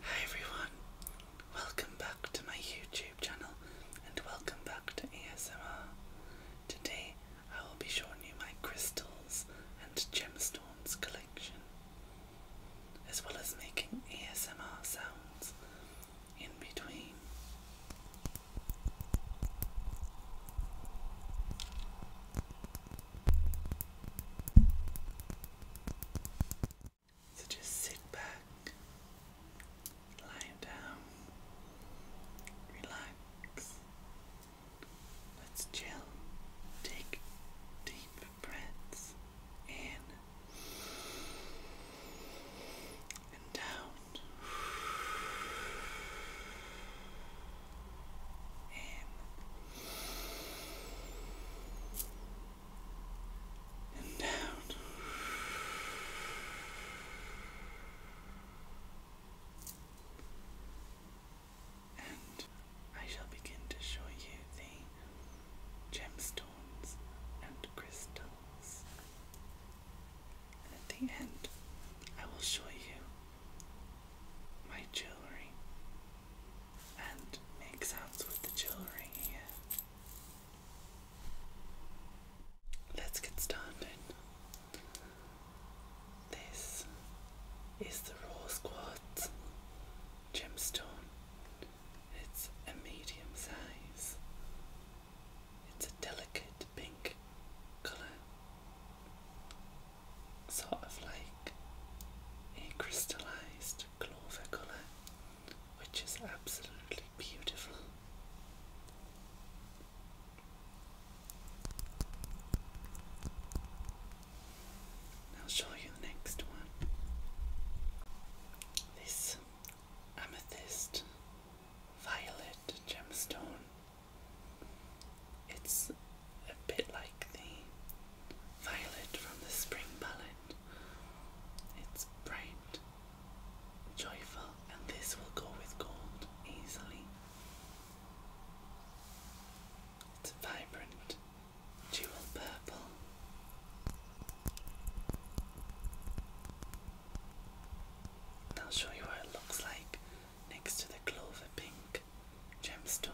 Hi everyone, welcome back to my YouTube channel and welcome back to ASMR. Today I will be showing you my crystals and gemstones collection, as well as making ASMR sounds in between. So just sit back, lie down, relax. Let's chill. Take deep breaths in and down and down. And I shall begin to show you the gemstones and crystals. And at the end, I will show you my jewelry and make sounds with the jewelry here. Let's get started. This is the Raw Quartz gemstone. It's a medium size. It's a delicate pink colour sort of like a crystallized clover colour, which is absolutely beautiful. i show you the next one. This amethyst violet gemstone it's a bit like the violet from the spring palette. It's bright, joyful, and this will go with gold easily. It's vibrant, jewel purple. I'll show you what it looks like next to the clover pink gemstone.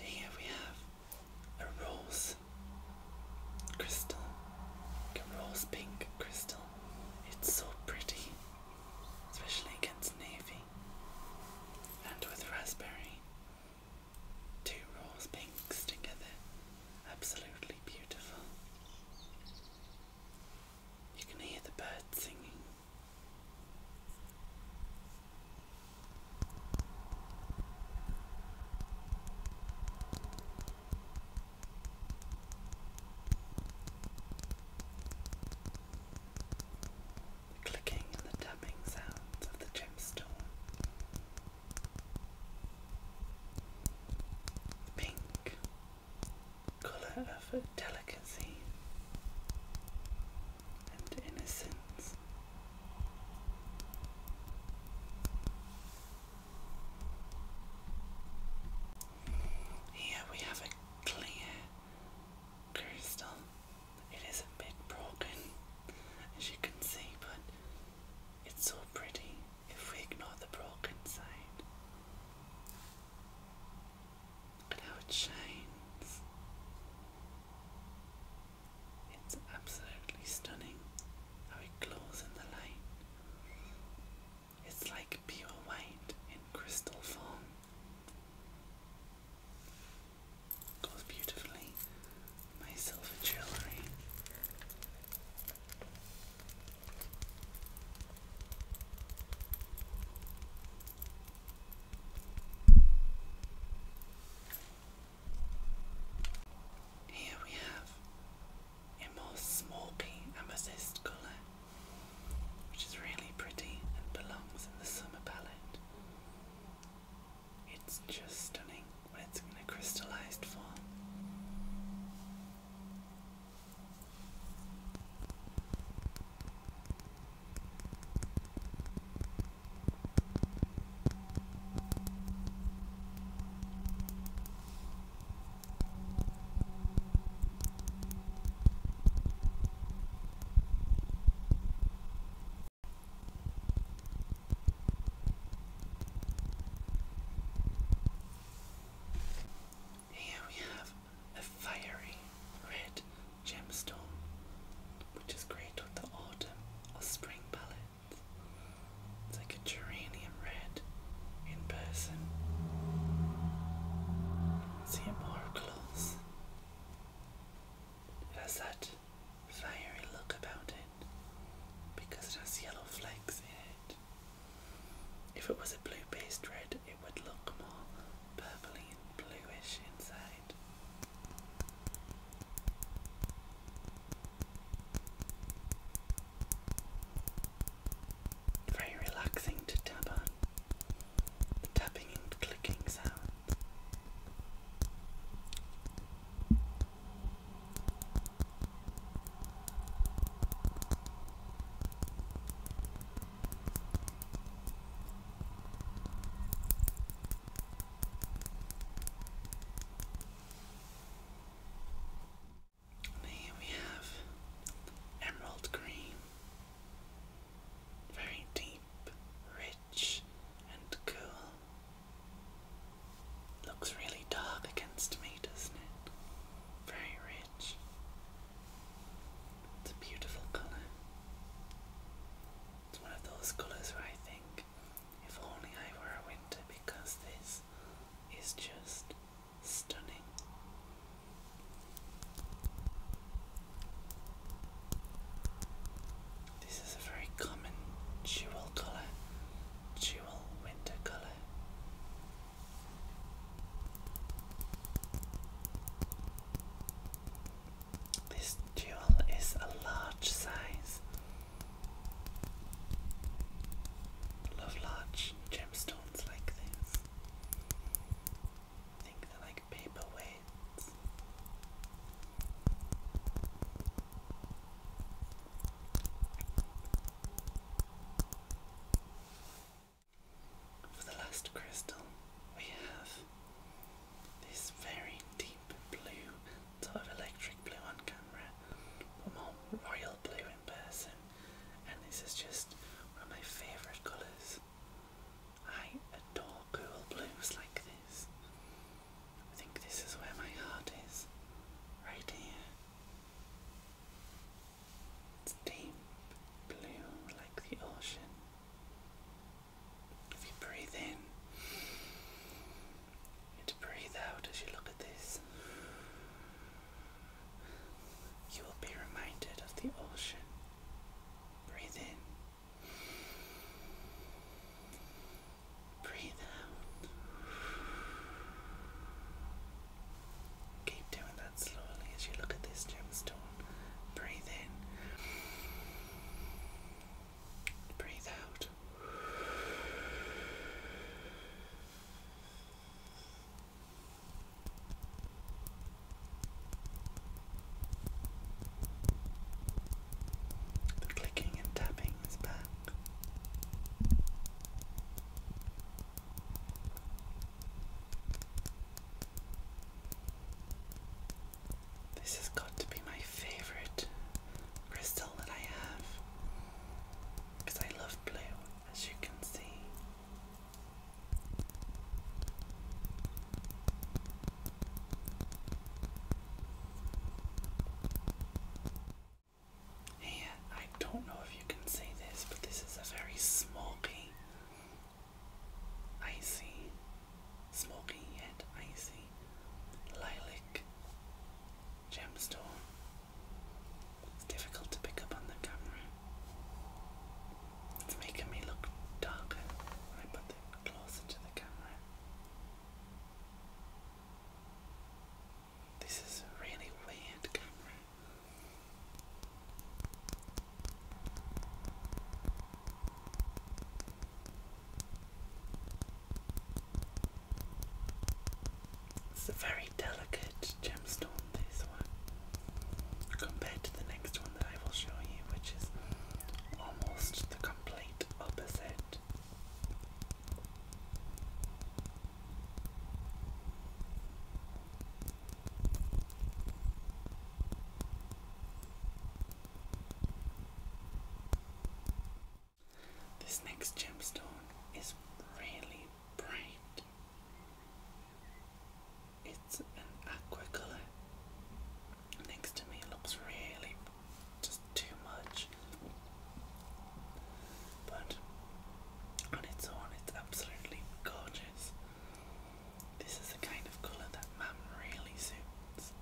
Here we have a rose crystal, a rose pink crystal. It's so pretty, especially against navy and with raspberry. Two rose pinks together. Absolutely beautiful. You can hear the birds singing. clicking and the tapping sounds of the gemstone Pink, colour of delicacy and innocence. Here we have a clear crystal. It is a bit broken, as you can see, but it's so pretty if we ignore the broken side. Look at how it shines. It's absolutely stunning how it glows in the light. It's like pure white in crystal form. Goes beautifully with jewellery. Here we have a more smoky amethyst colour, which is really pretty and belongs in the summer palette. It's just stunning when it's in a crystallized form. Here we have a fiery red gemstone, which is great with the autumn or spring palette. It's like a geranium red in person. See it more close. It has that fiery look about it because it has yellow flakes in it. If it was a blue based red, it would look more purpley and bluish inside. Very relaxing to tap on. The tapping and clicking sound here we have emerald green, very deep, rich, and cool. Looks really dark against me, doesn't it? Very rich. It's a beautiful colour. It's one of those colours where I think if only I were a winter because this is just stunning. This is a very common jewel colour, jewel winter colour. This jewel is a large size. Love large gemstones like this. I think they're like paperweights. For the last crystal, we have this very deep blue, sort of electric blue on camera, but more royal blue in person. And this is just one of my favourite colours. I adore cool blues like this. I think this is where my heart is, right here deep blue like the ocean. If you breathe in, and breathe out as you look at this, you will be reminded of the ocean. Breathe in. Breathe out. Keep doing that slowly as you look at this gemstone. Breathe in. Breathe out. The clicking and tapping is back. This has got to be my favorite crystal that I have because I love blue, as you can see. And I don't know if you can see this, but this is a very smoky, icy, smoky yet icy lilac gemstone. It's difficult to pick up on the camera. It's making me look darker I put it closer to the camera. This is really weird It's a very delicate gemstone, this one, compared to the next one that I will show you, which is almost the complete opposite. This next gemstone is really bright. It's an aqua colour. Next to me looks really just too much. But on its own, it's absolutely gorgeous. This is the kind of colour that Mam really suits.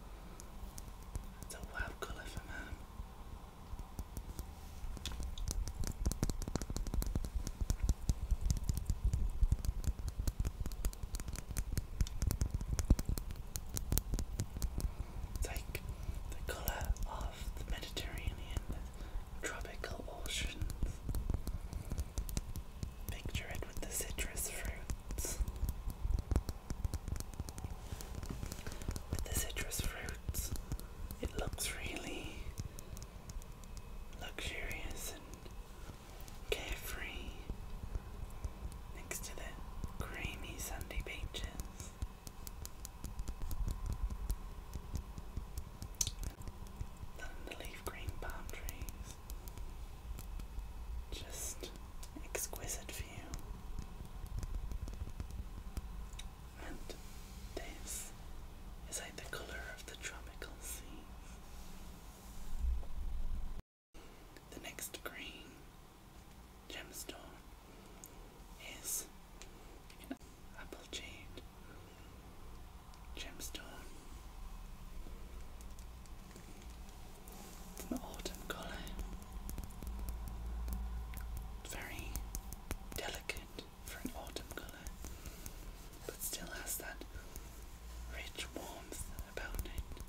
It's a wow colour for Mam. It's like the colour of the Mediterranean, tropical oceans. Picture it with the citrus fruits. With the citrus fruits, it looks really luxurious and carefree next to the creamy sandy beaches. And leaf green palm trees. Just exquisite view. And this is like the colour of the tropical seas. The next green gemstone is an apple jade gemstone. an autumn colour. very delicate for an autumn colour, but still has that rich warmth about it.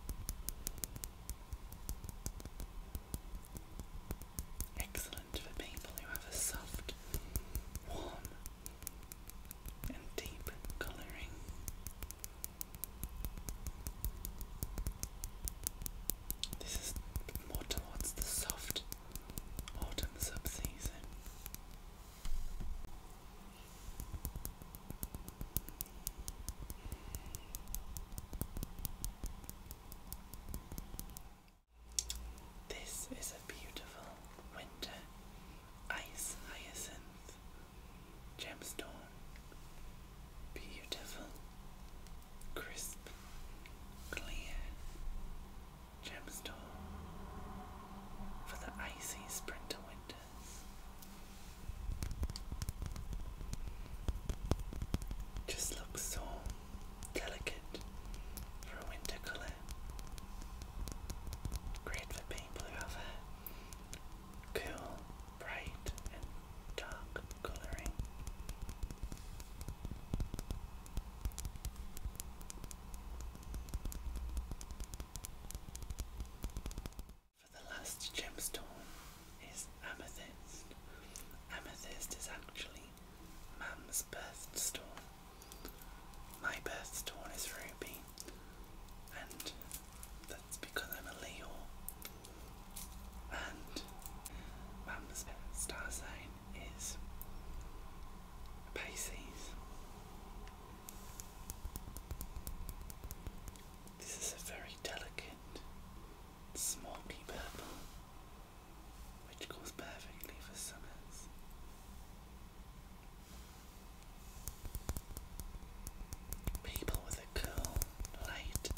Excellent for people who have a soft, warm, and deep colouring. This is more towards the soft autumn subseason. This is a beautiful winter ice hyacinth gemstone. Beautiful, crisp, clear gemstone for the icy sprinter winters. Just looks so Delicate for a winter colour. Great for people who have cool, bright, and dark colouring. For the last gemstone is amethyst. Amethyst is actually Mum's birthstone. My birthstone is ruby, and that's because I'm a Leo. And Mum's star sign is Pisces. This is a very delicate, smoky purple which goes perfectly for summers. People with a cool, light,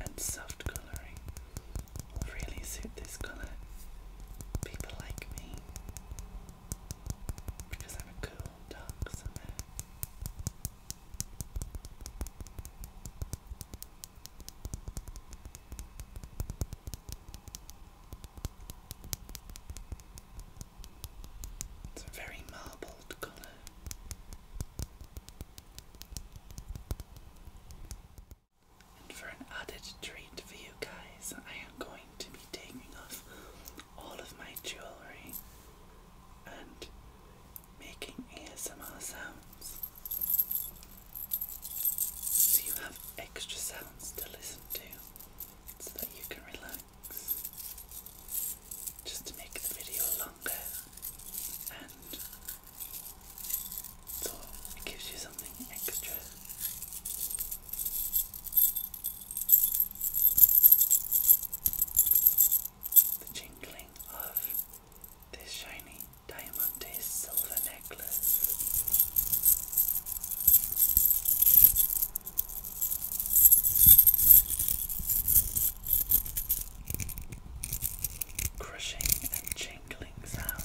and soft colouring will really suit this colour. People like me, because I'm a cool, dark summer. It's a very marbled colour. And for an added treat for you guys, I am going to be taking off all of my jewellery and making ASMR sounds. So you have extra sounds to listen to so that you can relax. Just to make the video longer and so it gives you something extra. The jingling of this shiny Diamante's silver necklace. Crushing and jingling sounds.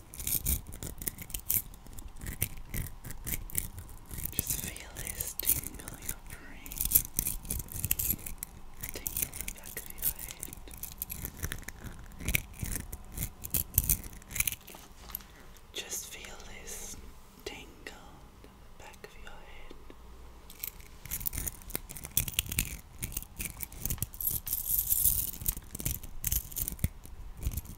Just feel this tingling in your brain. Tingle in the back of your head. Just feel this tingle in the back of your head.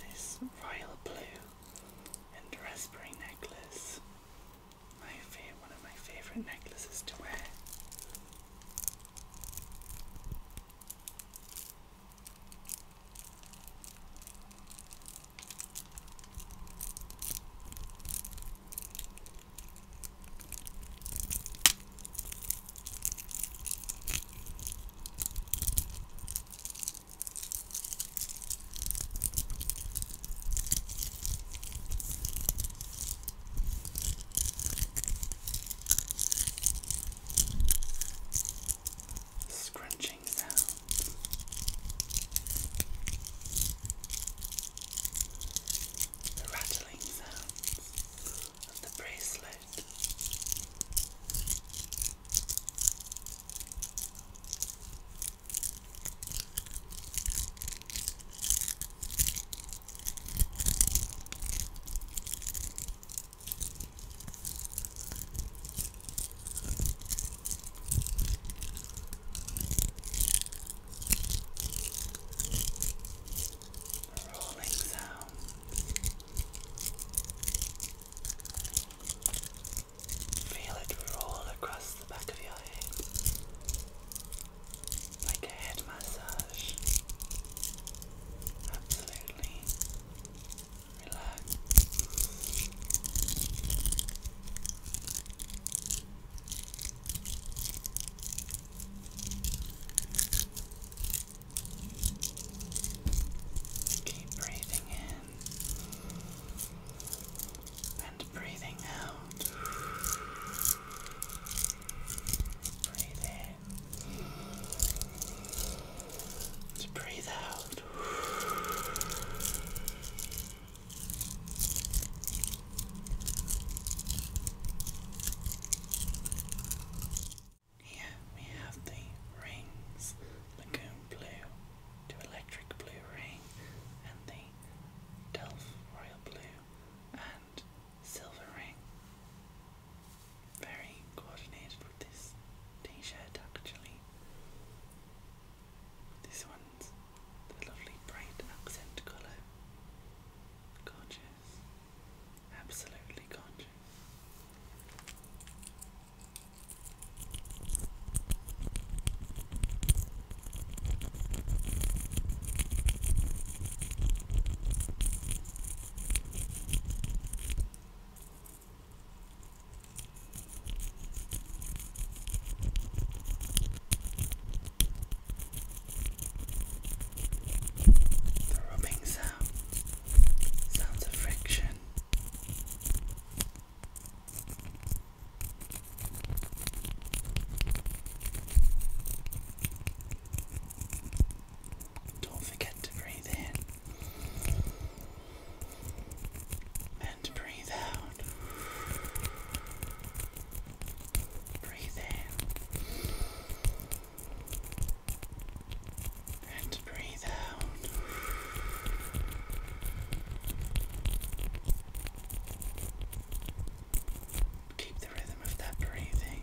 this royal blue and raspberry necklace. My favorite, one of my favorite necklaces to wear. Scrunching sounds the rattling sounds of the bracelet rolling sound. Feel it roll across the back of your head like a head massage. Absolutely relax. Keep breathing in and breathing out. Breathe in breathe out. Here we have the rings, lagoon blue to electric blue ring, and the delf royal blue and silver ring. Very coordinated with this t-shirt actually. This one's the lovely bright accent colour. Gorgeous. Absolutely gorgeous. The rubbing sound sounds of friction. Don't forget to breathe in and breathe out. Breathe in and breathe out. Keep the rhythm of that breathing.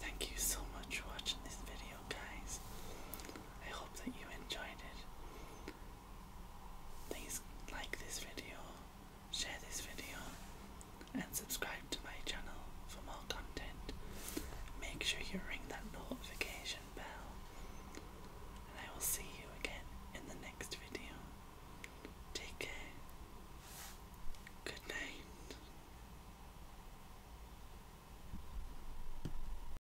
Thank you so much for watching this video, guys. I hope that you enjoyed it. Please like this video, share this video, and subscribe to my channel for more content. Make sure you ring that notification bell, and I will see you again in the next video. Take care. Good night.